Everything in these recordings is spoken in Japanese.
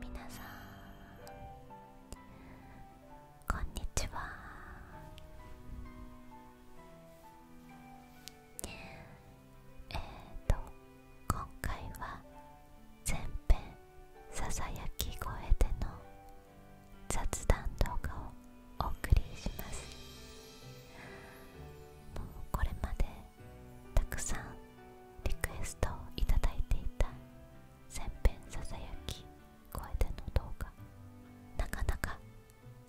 皆さんこんにちはえっと今回は前編さき声での雑談動画をお送りしますもうこれまでたくさんリクエストをいただいていた前編ささやき声での動画なかなか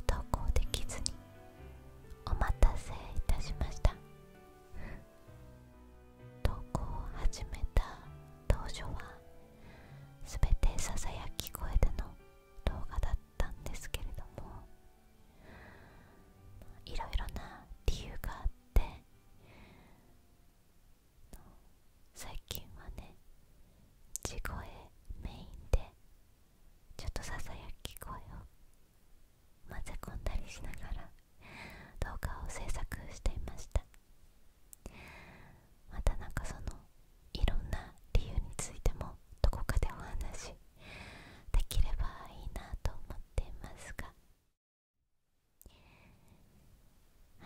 投稿できずにお待たせいたしました投稿を始めた当初は全てささやき声での動画だったんですけれどもいろいろな理由があって最近はね地声メインでちょっとささやき声を混ぜ込んだりしながら動画を制作していましたまたなんかそのいろんな理由についてもどこかでお話できればいいなと思っていますが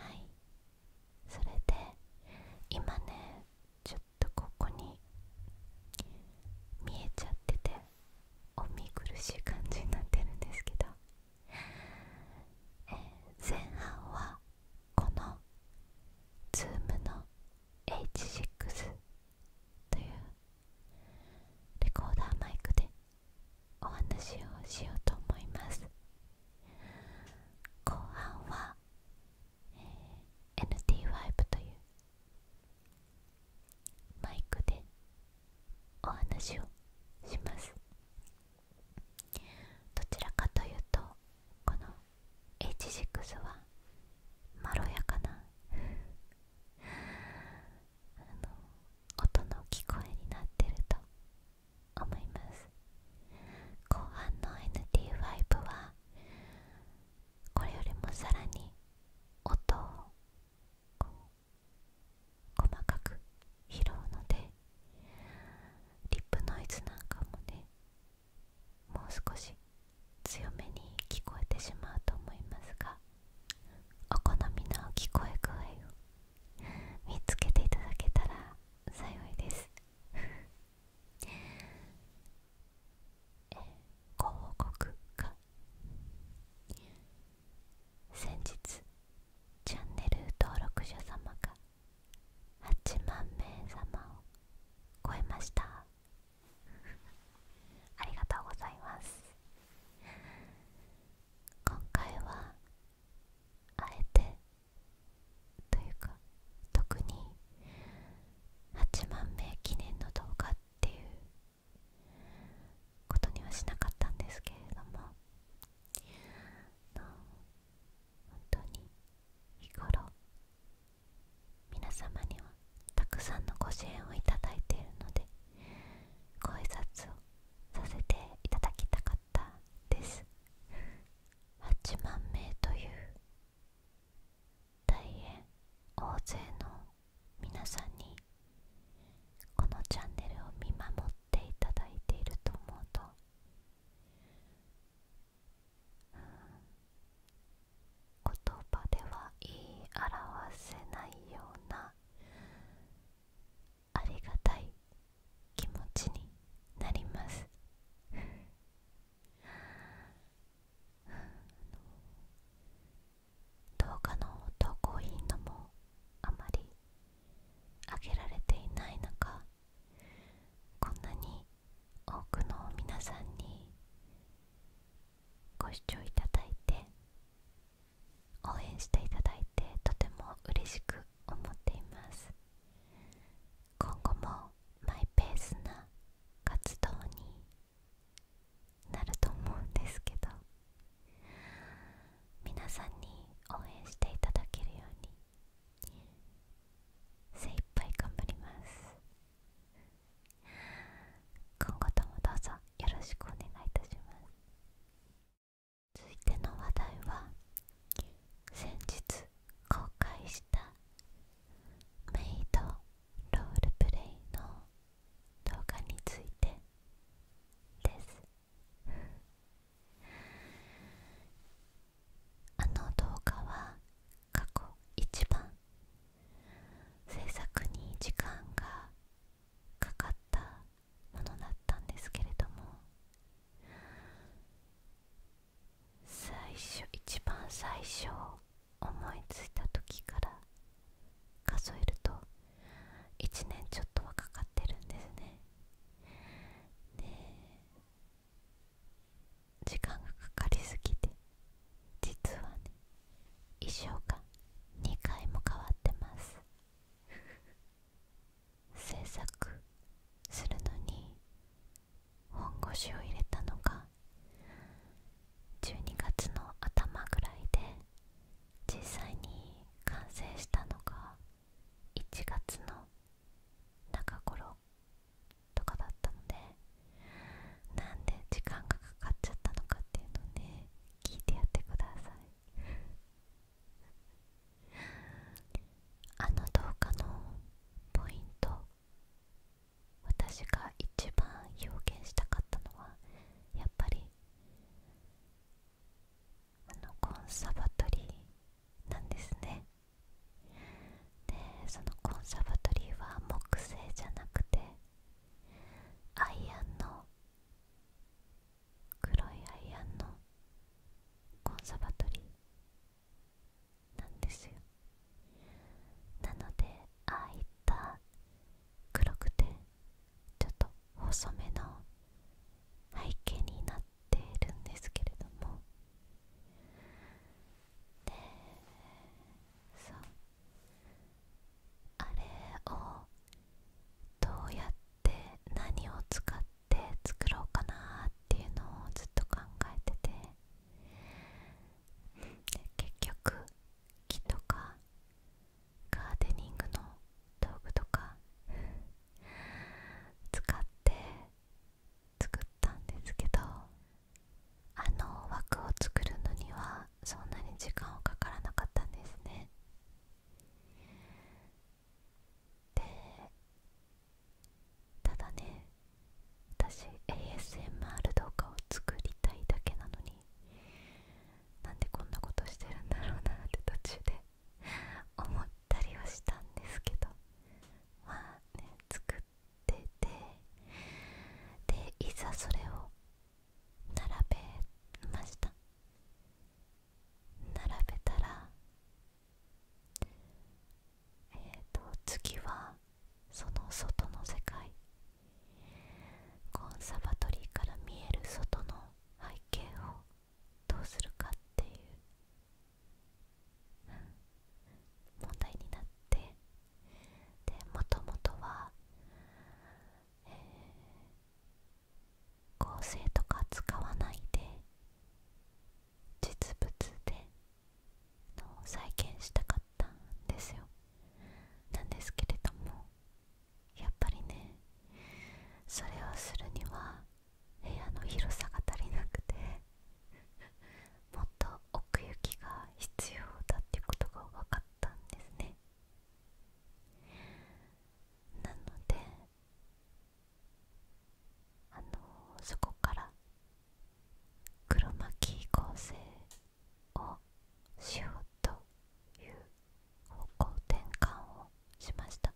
はいそれで今ねちょっとここに見えちゃっててお見苦しい感じになってるんですけど、え前半はこの Zoom の H6 というレコーダーマイクでお話をしようと思います後半は、え NT5 というマイクでお話をしますどちらかというとこの H6 はまろやかな音の聞こえになってると思います後半の NT5 はこれよりもさらに音を細かく拾うのでリップノイズなんかもねもう少し強めに聞こえてしまうと思いますがお好みの聞こえ具合を見つけていただけたら幸いですえご告先日チャンネル登録者様が8万名様を超えました ありがとうございます今回はあえてというか特に8万名記念の動画っていうことにはしなかったんですけれども本当に日頃皆様にはたくさんのご支援をいただいているのでご挨拶をさせていただきたかったです8万名という大変大勢の皆さんにこのチャンネルを見守っていただいていると思うと、言葉では言い表せないようなありがたい気持ちになります 動画の投稿頻度もあまり上げられていない中こんなに多くの皆さんにご視聴いただいて応援していただいてとても嬉しく思っています今後もマイペースな活動になると思うんですけど皆さんに応援していただけるように精一杯頑張ります今後ともどうぞよろしくお願いいたします続いての話題は先日公開したメイドロールプレイの動画についてですあの動画は過去一番制作に時間がかかったものだったんですけれども最初一番最初思いついた時から数えると1年ちょっとはかかってるんですね時間がかかりすぎて実はね衣装が2回も変わってます制作するのに本腰を入れたのが12月の頭ぐらいで実際に完成したのが1月の中頃とかだったのでなんで時間がかかっちゃったのかっていうのをね聞いてやってくださいあの動画のポイント私が一番表現したかったのはやっぱりあのコンサバトリーなんですねでそのコンサバトリーは木製じゃなくてアイアンの黒いアイアンのコンサバトリーなんですよなのでああいった黒くてちょっと細めの背景になっているんですけれどもでそうあれをどうやって何を使って作ろうかなっていうのをずっと考えてて結局木とかガーデニングの道具とか使って作ったんですけどあの枠を作るのにはそんなに時間はかからなかったんですねでただね私 ASMR 動画を作りたいだけなのになんでこんなことしてるんだろうなって途中で 思ったりはしたんですけどまあね作っててでいざそれを並べました並べたらえっ、と次はその外の世界コンサバトリーから見える外の背景をどうするかっていう問題になってでもともとは、合成とか使わないで実物での再現したかったんですよなんですけれどもやっぱりねそれをするには部屋の広さが足りなくてもっと奥行きが必要だっていうことが分かったんですねなのであのそこから黒巻合成をしようという方向転換をしました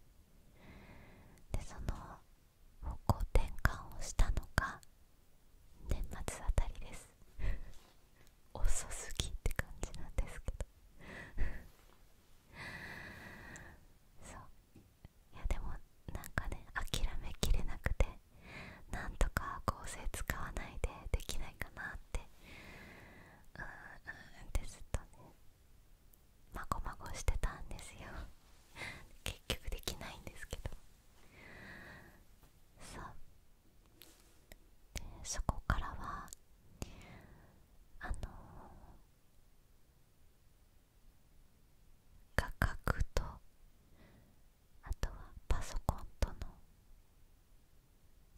でその方向転換をしたのが年末あたりです 遅すぎって感じなんですけど そういやでもなんかね諦めきれなくてなんとか合成使わないでできないかなっってうんうんってずっとねまごまごしてたんですよ 結局できないんですけどさでそこからはあの画角とあとはパソコンとの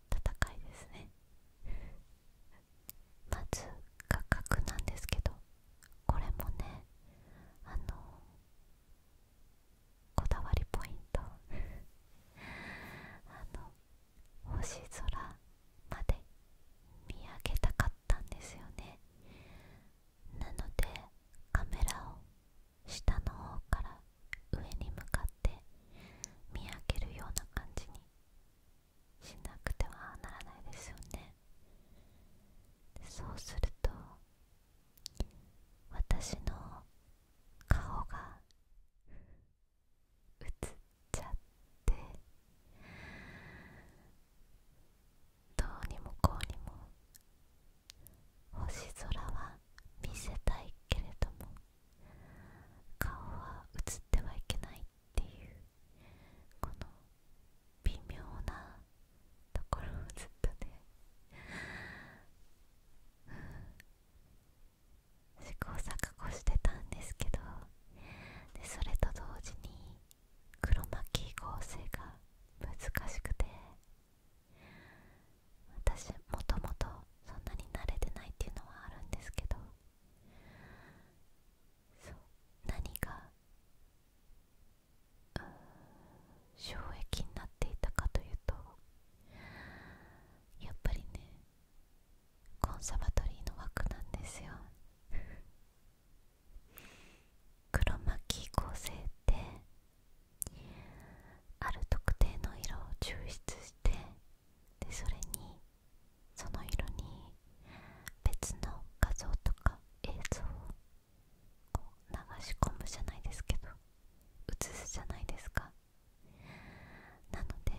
戦いですね まず価格なんですけどこれもねあのこだわりポイント あの星空まで見上げたかったんですよねなのでカメラを下の方から上に向かって見分けるような感じにしなくてはならないですよねそうすると私の顔が映っちゃってどうにもこうにも星空は見せたいけれども顔は映ってはいけないっていうこの微妙なところをずっとね試行錯誤してたんですけどでそれと同時に黒巻合成が難しくて私もともとそんなに慣れてないっていうのはあるんですけどそう何が衝撃になっていたかというとやっぱりねコンサバトリーの枠なんですよ 黒巻構成ってある特定の色を抽出してでそれにその色に別の画像とか映像を流し込むじゃないですけど写すじゃないですかなので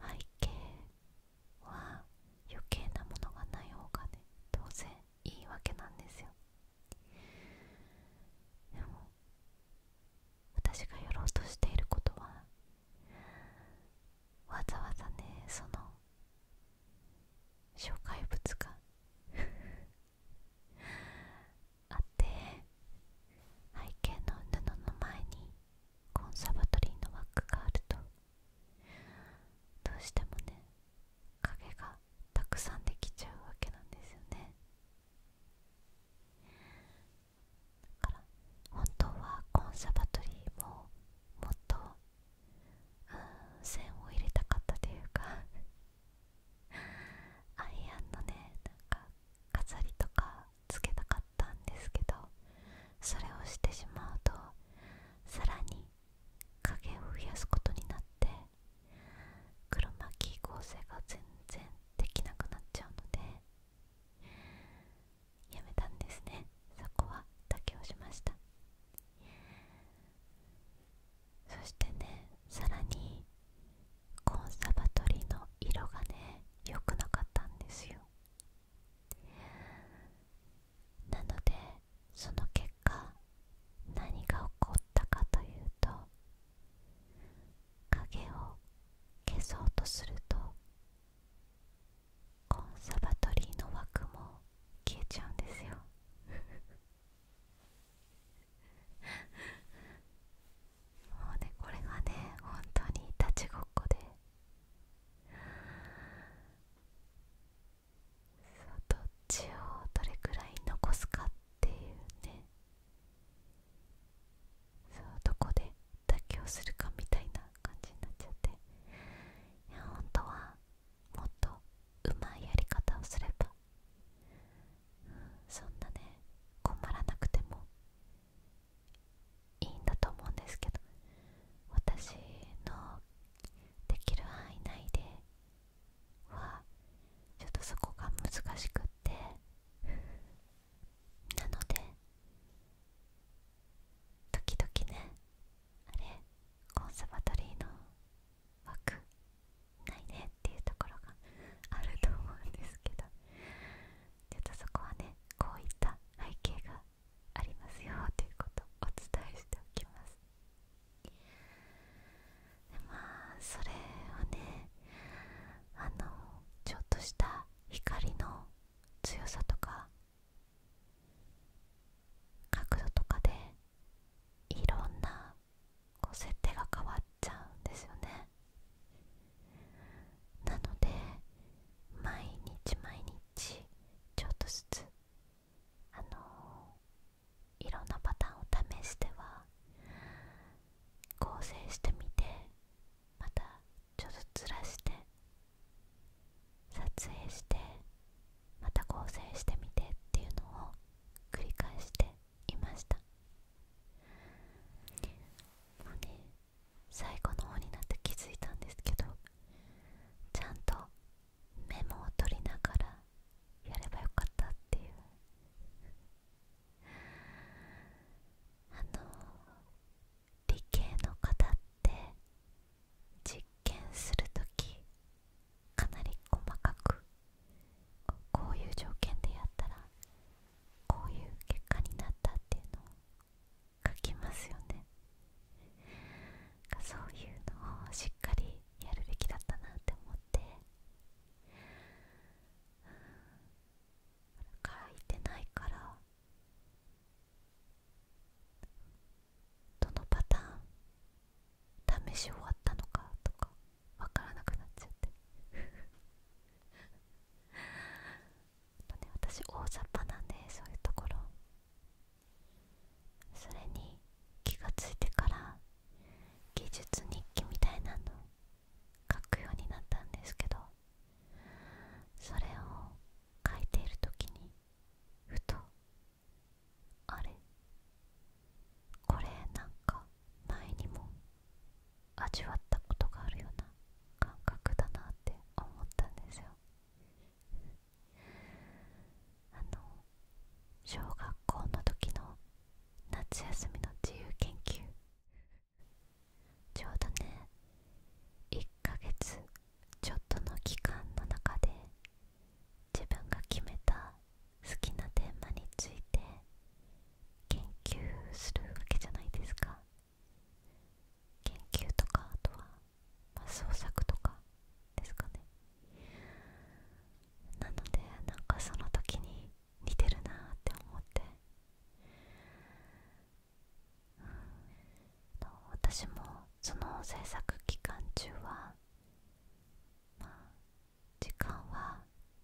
背景は余計なものがない方がね当然いいわけなんですよでも私がやろうとしていることはわざわざねその障害物が あって背景の布の前にコンサバトリーの枠があるとどうしてもね影がたくさんできちゃうわけなんですよねだから本当はコンサバトリーももっと線を入れたかったというかアイアンのねなんか飾りとかつけたかったんですけどそれをしてしまうとさらに影を増やすことになって黒巻合成が全然できなくなっちゃうのでやめたんですねそこは妥協しましたそしてねさらにコンサバトリの色がね良くなかったんですよなのでその結果何が起こったかというと影を消そうとするとコンサバトリーの枠も消えちゃうんですよ もうねこれがね本当に立ちごっこでそうどっちをどれくらい残すかっていうねそうどこで妥協するかみたいな感じになっちゃっていや本当はもっとうまいやり方をすれば、そんなね困らなくてもいいんだと思うんですけど私のできる範囲内ではちょっとそこが難しくってなので時々ねあれコンサバトリーの枠ないねっていうところがあると思うんですけどちょっとそこはねこういった背景がありますよということをお伝えしておきますまあそれはねあのちょっとした光の強さとか角度とかでいろんなこう設定が変わっちゃうんですよねなので毎日毎日ちょっとずつあのいろんなパターンを試しては構成してみてまたちょっとずらして撮影してまた構成してみてっていうのを繰り返していましたもうね最後の方になって気づいたんですけどちゃんとメモを取りながらやればよかったっていうあの理系の方って実験する時かなり細かくこういう条件でやったらこういう結果になったっていうのを書きますよねそういうのをしっかりやるべきだったなって思ってからいてないからどのパターン試し終わったのかとかわからなくなっちゃってと、ね、私大雑把なんでそういうところそれに気が付いてから技術日記みたいなの書くようになったんですけどそれを書いている時にふとあれこれなんか前にも味わったことがあるような感覚だなって思ったんですよあの小学校の時の夏休みの自由研究ちょうどね1ヶ月ちょっとの期間の中で自分が決めた好きなテーマについて研究するわけじゃないですか研究とかあとは、ま創作とかですかねなのでなんかその時に似てるなって思って、私もその制作期間中はまあ時間は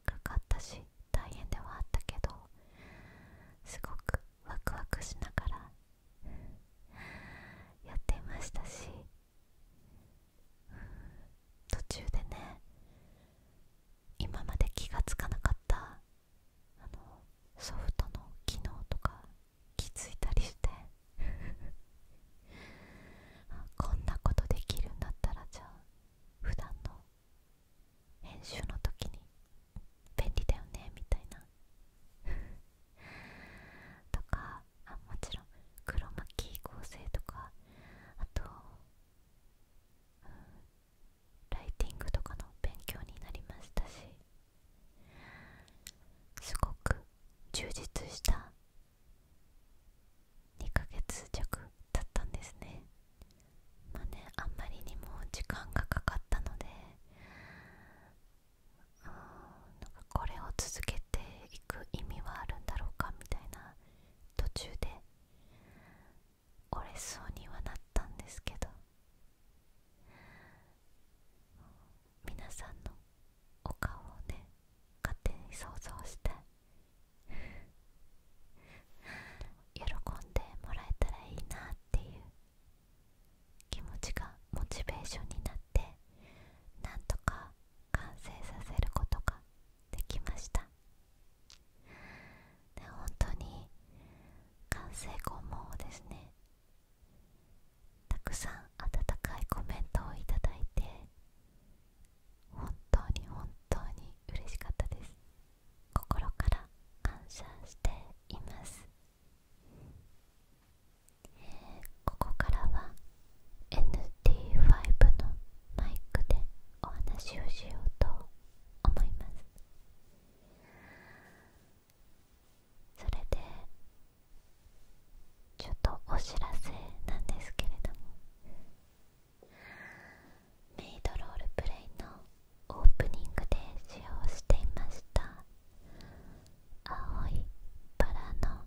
かかったし大変ではあったけどすごくワクワクしながらやっていましたし途中でね今まで気が付かなかったソフトの機能とか気づいたりして こんなことできるんだったらじゃあ普段の編集の時に便利だよねみたいな とかもちろん黒巻き構成とかあとライティングとかの勉強になりましたしすごく充実した2ヶ月弱だったんですねまあねあんまりにも時間がかかったのでうんなんかこれを続けていく意味はあるんだろうかみたいな途中で折れそうにはなったんですけど皆さんのお顔をね勝手に想像して喜んでもらえたらいいなっていう気持ちがモチベーションになってなんとか完成させることができましたで本当に完成後もですねたくさん温かいコメントをいただいて本当に本当に嬉しかったです心から感謝しています、えここからは NT5 のマイクでお話をしようと思いますそれでちょっとお知らせなんですけれどもメイドロールプレイのオープニングで使用していました青いバラの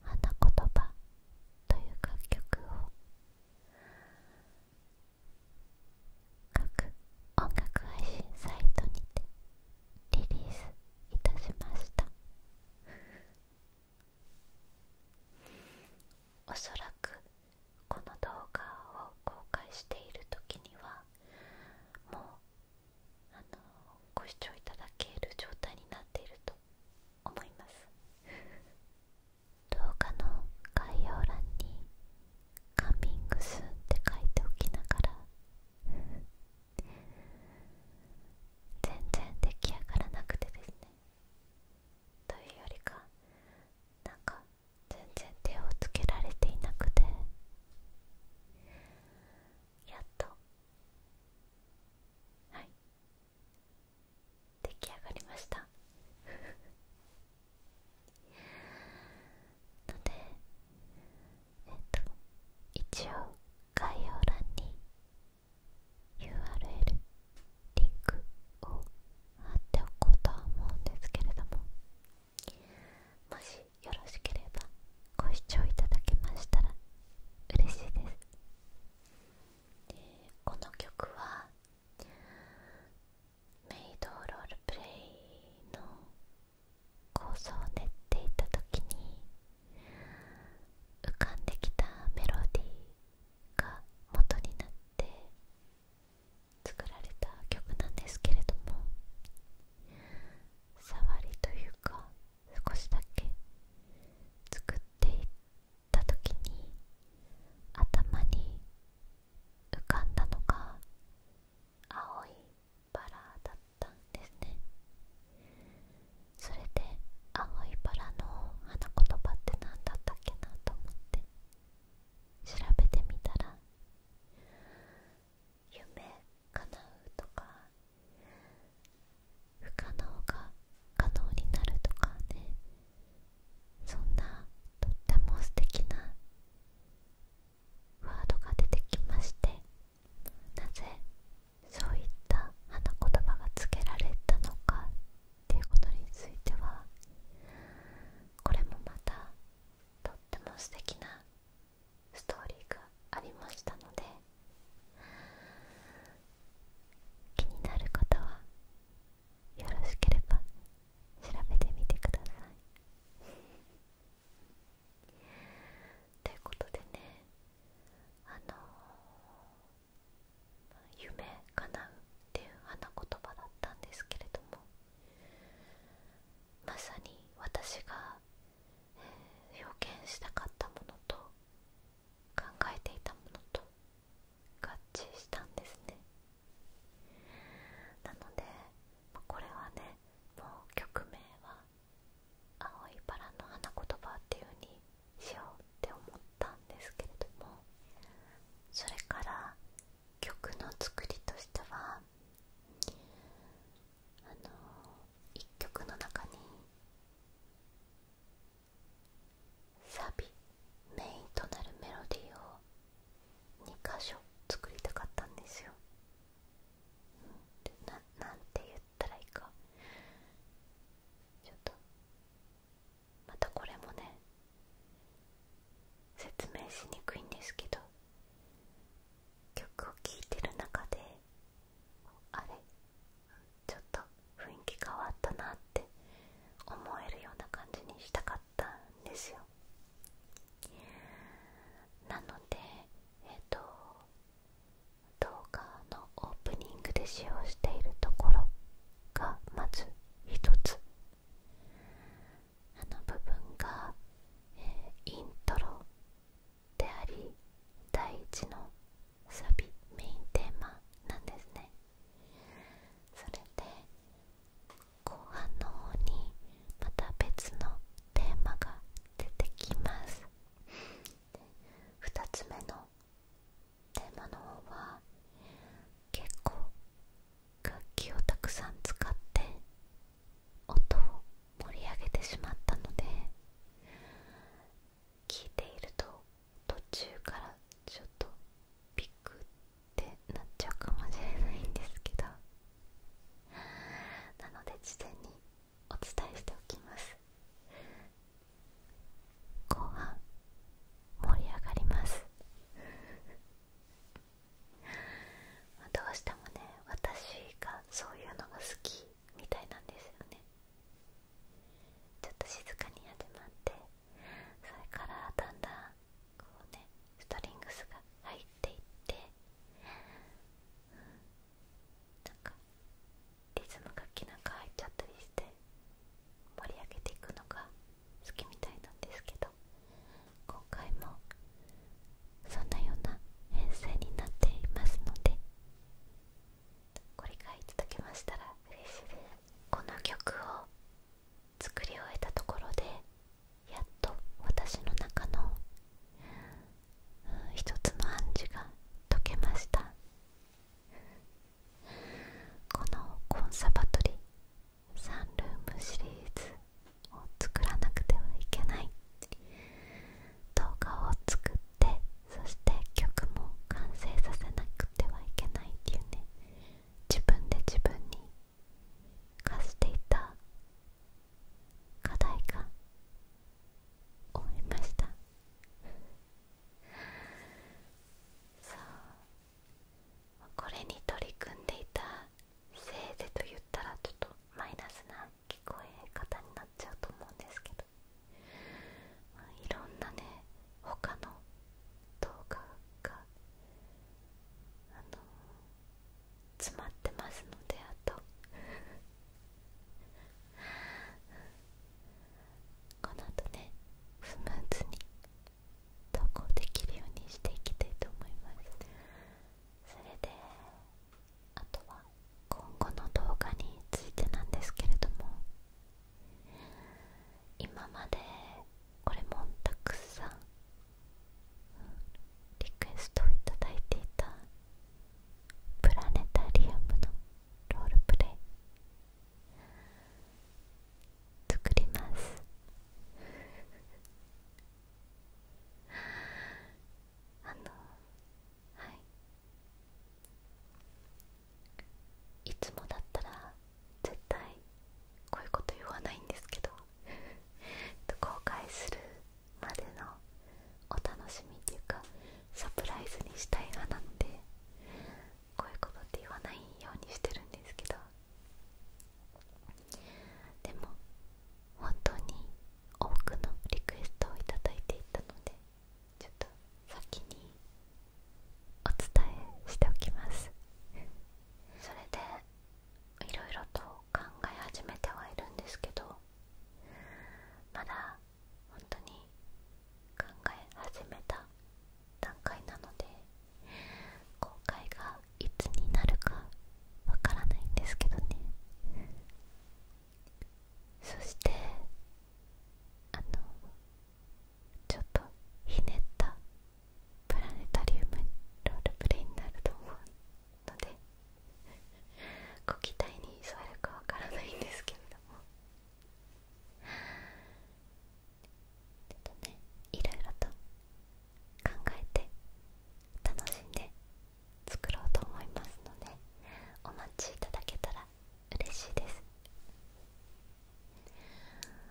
花言葉という楽曲を各音楽配信サイトにてリリースいたしましたおそらくこの動画を公開している時にはもうあのご視聴いただける状態になっていると思います動画の概要欄に「カミングスって書いておきながら全然出来上がらなくてですねというよりかなんか全然手をつけられていなくてやっとはい出来上がりましたのでえっと一応概要欄に URL リンクを貼っておこうとは思うんですけれどももしよろしければご視聴いただけましたら嬉しいですこの曲はメイドロールプレイの構想を練っていた時に浮かんできたメロディーが元になって作られた曲なんですけれども触りというか少しだけ作っていた時に頭に浮かんだのが青いバラだったんですねそれで青いバラの花言葉って何だったっけなと思って調べてみたら夢叶うとか不可能が可能になるとかねそんなとっても素敵なワードが出てきましてなぜそういった花言葉がつけられたのかっていうことについてはこれもまたとっても素敵なストーリーがありましたので気になる方はよろしければ調べてみてくださいということでねあのー、夢叶うっていう花言葉だったんですけれどもまさに私が、えー、表現したかったものと考えていたものと合致したんですねなので、まこれはねもう曲名は「青いバラの花言葉」っていうようにしようって思ったんですけれどもそれから曲の作りとしてはあの1曲の中にサビメインとなるメロディーを2箇所作りたかったんですよなんて言ったらいいかちょっとまたこれもね説明しにくいんですけど曲を聴いてる中であれちょっと雰囲気変わったなって思えるような感じにしたかったんですよなのでえっ、と動画のオープニングで使用しているところがまず一つあの部分が、えイントロであり第一のサビメインテーマなんですねそれで後半の方にまた別のテーマが出てきます2つ目のテーマの方は結構楽器をたくさん使って音を盛り上げてしまったので聴いていると途中からちょっとビクってなっちゃうかもしれないんですけど なので事前にお伝えしておきます後半盛り上がります どうしてもね私がそういうのが好きみたいなんですよねちょっと静かに始まってそれからだんだんこうねストリングスが入っていって、うなんかリズム楽器なんか入っちゃったりして盛り上げていくのが好きみたいなんですけど今回もそんなような編成になっていますのでご理解いただけましたら嬉しいですこの曲を作り終えたところでやっと私の中の一つの暗示が解けましたこのコンサバトリーサンルームシリーズを作らなくてはいけない動画を作ってそして曲も完成させなくてはいけないっていうね自分で自分に課していた課題が思いましたそうこれに取り組んでいたせいぜいと言ったらちょっとマイナスな聞こえ方になっちゃうと思うんですけどいろんなね他の動画があの詰まってますのであと この後ねスムーズに投稿できるようにしていきたいと思いますそれであとは今後の動画についてなんですけれども今までこれもたくさん、うん、リクエストをいただいていたプラネタリウムのロールプレイ作りますあのはいいつもだったら絶対こういうこと言わないんですけど後悔するまでのお楽しみっていうかサプライズにしたい派なのでこういうことって言わないようにしてるんですけどでも本当に多くのリクエストを頂いていたのでちょっと先にお伝えしておきますそれでいろいろと考え始めてはいるんですけどまだ本当に考え始めた段階なので今回がいつになるかわからないんですけどねそしてあのちょっとひねったプラネタリウムロールプレイになると思うのでご期待に沿えるかわからないんですけれどもちょっとねいろいろと考えて楽しんで作ろうと思いますのでお待ちいただけたら嬉しいです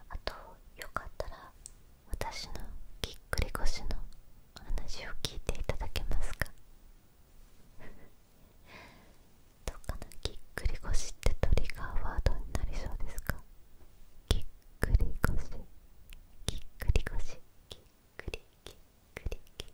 あとよかったら私のぎっくり腰の話を聞いていただけますか どうかなぎっくり腰ってトリガーワードになりそうですかぎっくり腰ぎっくり腰ぎっくりぎっくりぎっ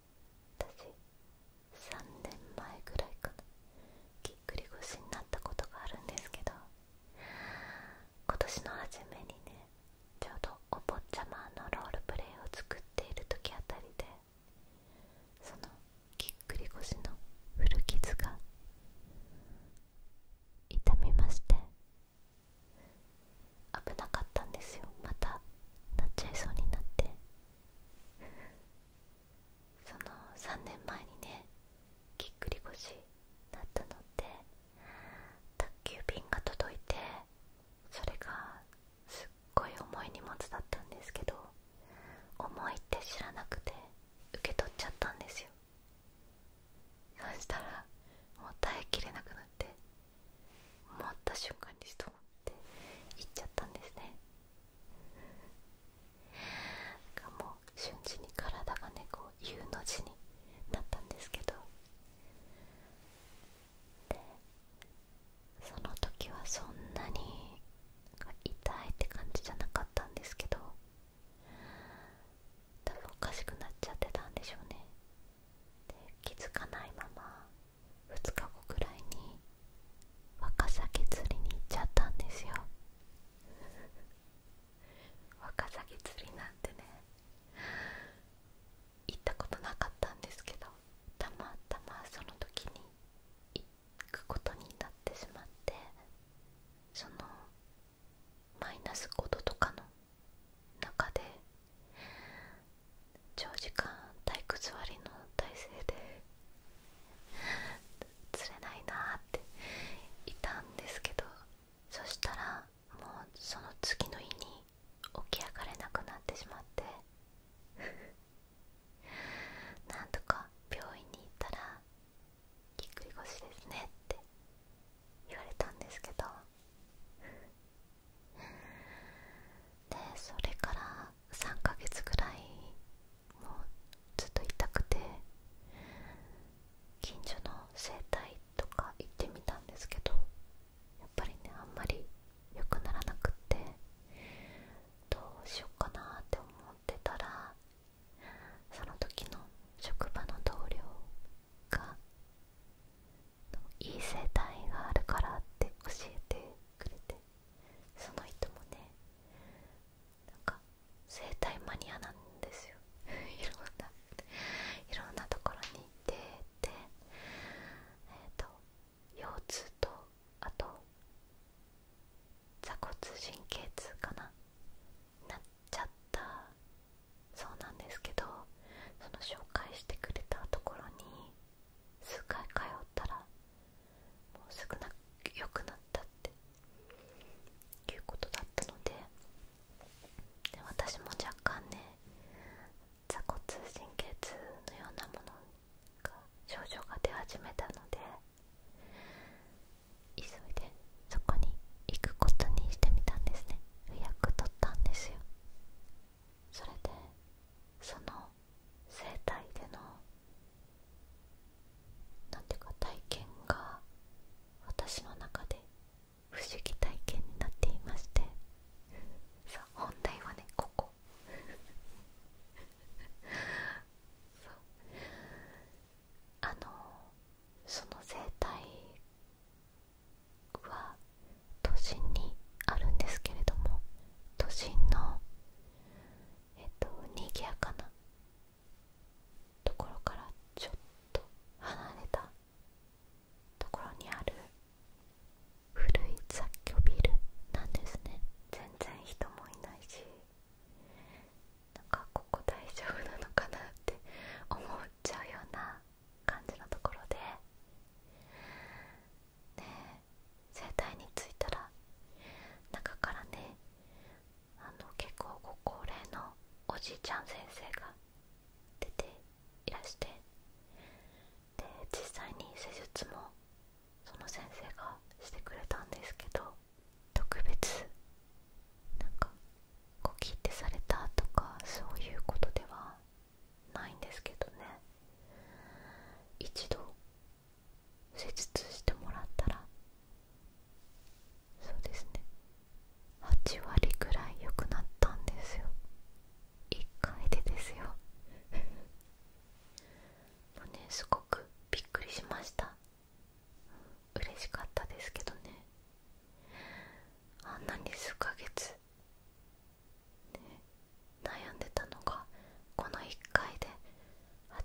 私3年前ぐらいかなぎっくり腰になったことがあるんですけど今年の初めにねちょうどお坊ちゃまのロールプレイを作っている時あたりでそのぎっくり腰の古傷が痛みまして危なかったんですよまたなっちゃいそうになってその3年前にねぎっくり腰になったので宅急便が届いてそれがすっごい重い荷物だったんですけど重いって知らなくて受け取っちゃったんですよそしたらもう耐えきれなくなって思った瞬間にストンって行っちゃったんですねなんかもう瞬時に体がねこう U の字になったんですけどでその時はそんなに痛いって感じじゃなかったんですけど多分おかしくなっちゃってたんでしょうねで気づかないまま2日後くらいに若鮭釣りに行っちゃったんですよ若鮭釣りなんてね行ったことなかったんですけどたまたまその時に行くことになってしまってそのマイナス5度とかの中で長時間体育座りの体制で 釣れないなっていたんですけどそしたらもうその次の日に起き上がれなくなってしまって なんとか病院に行ったら「ぎっくり腰ですね」って言われたんですけどでそれから3ヶ月ぐらいもうずっと痛くて近所の整体とか行ってみたんですけどやっぱりねあんまり良くならなくってどうしようかなって思ってたらその時の職場の同僚がいい生態があるからって教えてくれてその人もねなんか生態マニアなんですよ いろんないろんなところに行っててえっ、と腰痛とあと坐骨神経痛かななっちゃったそうなんですけどその紹介してくれたところに数回通ったらもう少なく良くなったっていうことだったのでで私も若干ね坐骨神経痛のようなものが症状が出始めたので急いでそこに行くことにしてみたんですね予約取ったんですよそれでその生態でのなんていうか体験が私の中で不思議体験になっていましてさあ本題はねここ そうあのその生態は都心にあるんですけれども都心のえっとにぎやかなところからちょっと離れたところにある古い雑居ビルなんですね全然人もいないしなんかここ大丈夫なのかなって思っちゃうような感じのところでね生体に着いたら中からねあの結構ご高齢のおじいちゃん先生が出ていらしてで実際に施術もその先生がしてくれたんですけど特別なんかこう切手されたとかそういうことではないんですけどね一度施術してもらったらそうですね8割くらい良くなったんですよ1回でですよ もうねすごくびっくりしました嬉しかったですけどねあんなに数ヶ月悩んでたのがこの1回で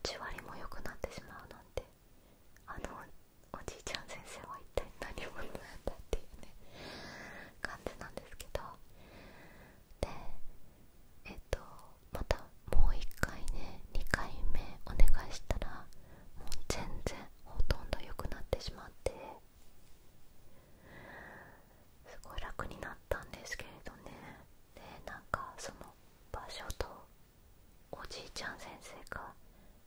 8割も良くなってしまうなんてあのおじいちゃん先生は一体何者なんだっていうね感じなんですけどでえっとまたもう1回ね2回目お願いしたらもう全然ほとんど良くなってしまって。すごい楽になったんですけれどねでなんかその場所とおじいちゃん先生が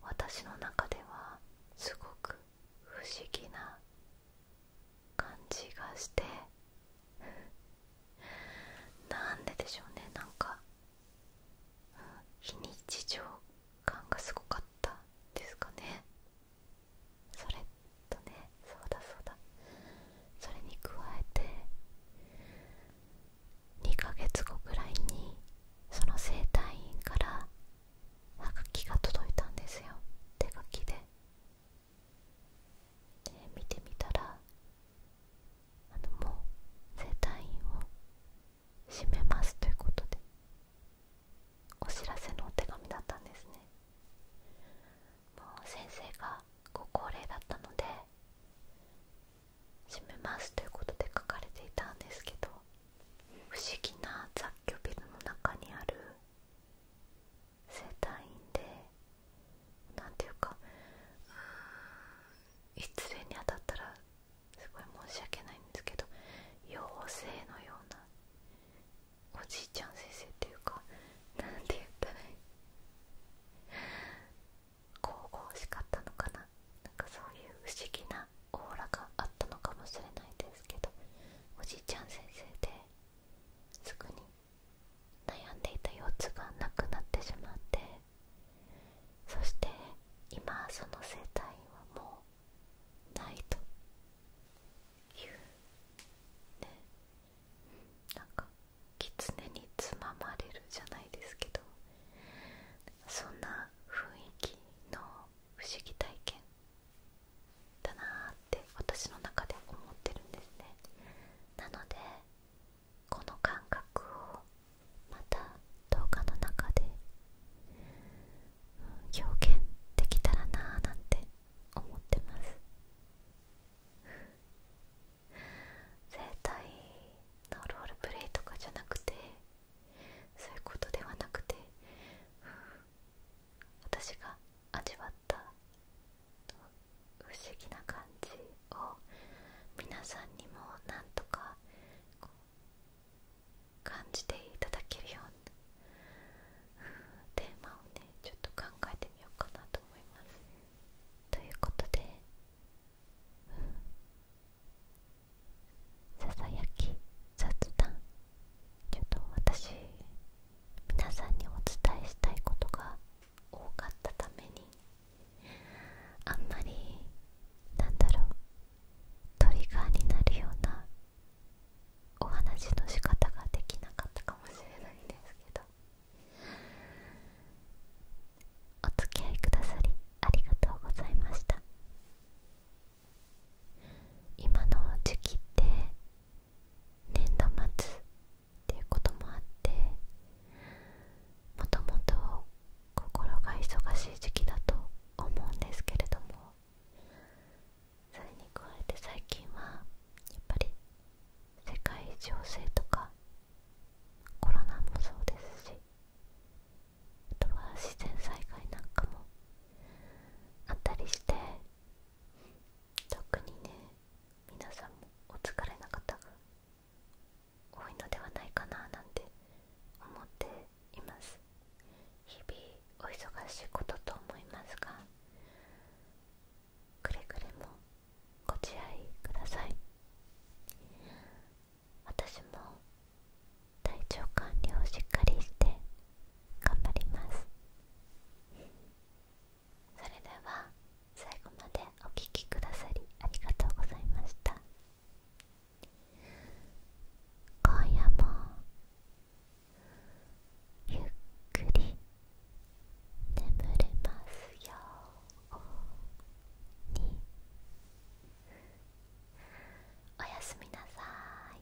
私の中ではすごく不思議な感じがしてなんででしょうねなんか、日に非日常感がすごかったですかねそれとねそうだそうだそれに加えて2ヶ月後ぐらいにその整体院からはがきが届いたんですよ手書きでで見てみたらあのもう整体院を閉めますということでお知らせのお手紙だったんですねもう先生がご高齢だったので閉めますということで書かれていたんですけど不思議な雑居ビルの中にある整体院で何ていうか失礼に当たったらすごい申し訳ないんですけど妖精のようなおじいちゃん先生っていうかなんて言ったらいい神々しかったのかななんかそういう不思議なオーラがあったのかもしれないですけどおじいちゃん先生ですぐに悩んでいた腰痛がなくなってしまってそして今その生態はもうないというねなんか狐につままれるじゃないですけどそんな雰囲気の不思議体験だなって私の中で思ってるんですねなのでこの感覚をまた動画の中で表現できたらなぁなんて思ってます生体のロールプレイとかじゃなくてそういうことではなくて私が味わった不思議な感じを皆さんにもなんとか感じていただけるよテーマをねちょっと考えてみようかなと思いますということで「ささやき雑談」ちょっと私皆さんにお伝えしたいことが多かったためにあんまりなんだろうトリガーになるようなお話の仕方ができなかったかもしれないんですけどお付き合いくださりありがとうございました今の時期って年度末っていうこともあってもともと心が忙しい時期だと思うんですけれどもそれに加えて最近はやっぱり世界情勢とかコロナもそうですしあとは自然災害なんかもあったりして特にね皆さんもお疲れな方が多いのではないかななんて思っています日々お忙しいことと思いますがくれぐれもご自愛ください私も体調管理をしっかりして頑張りますそれでは最後までお聴きくださりありがとうございました今夜もゆっくり眠れますようにおやすみなさい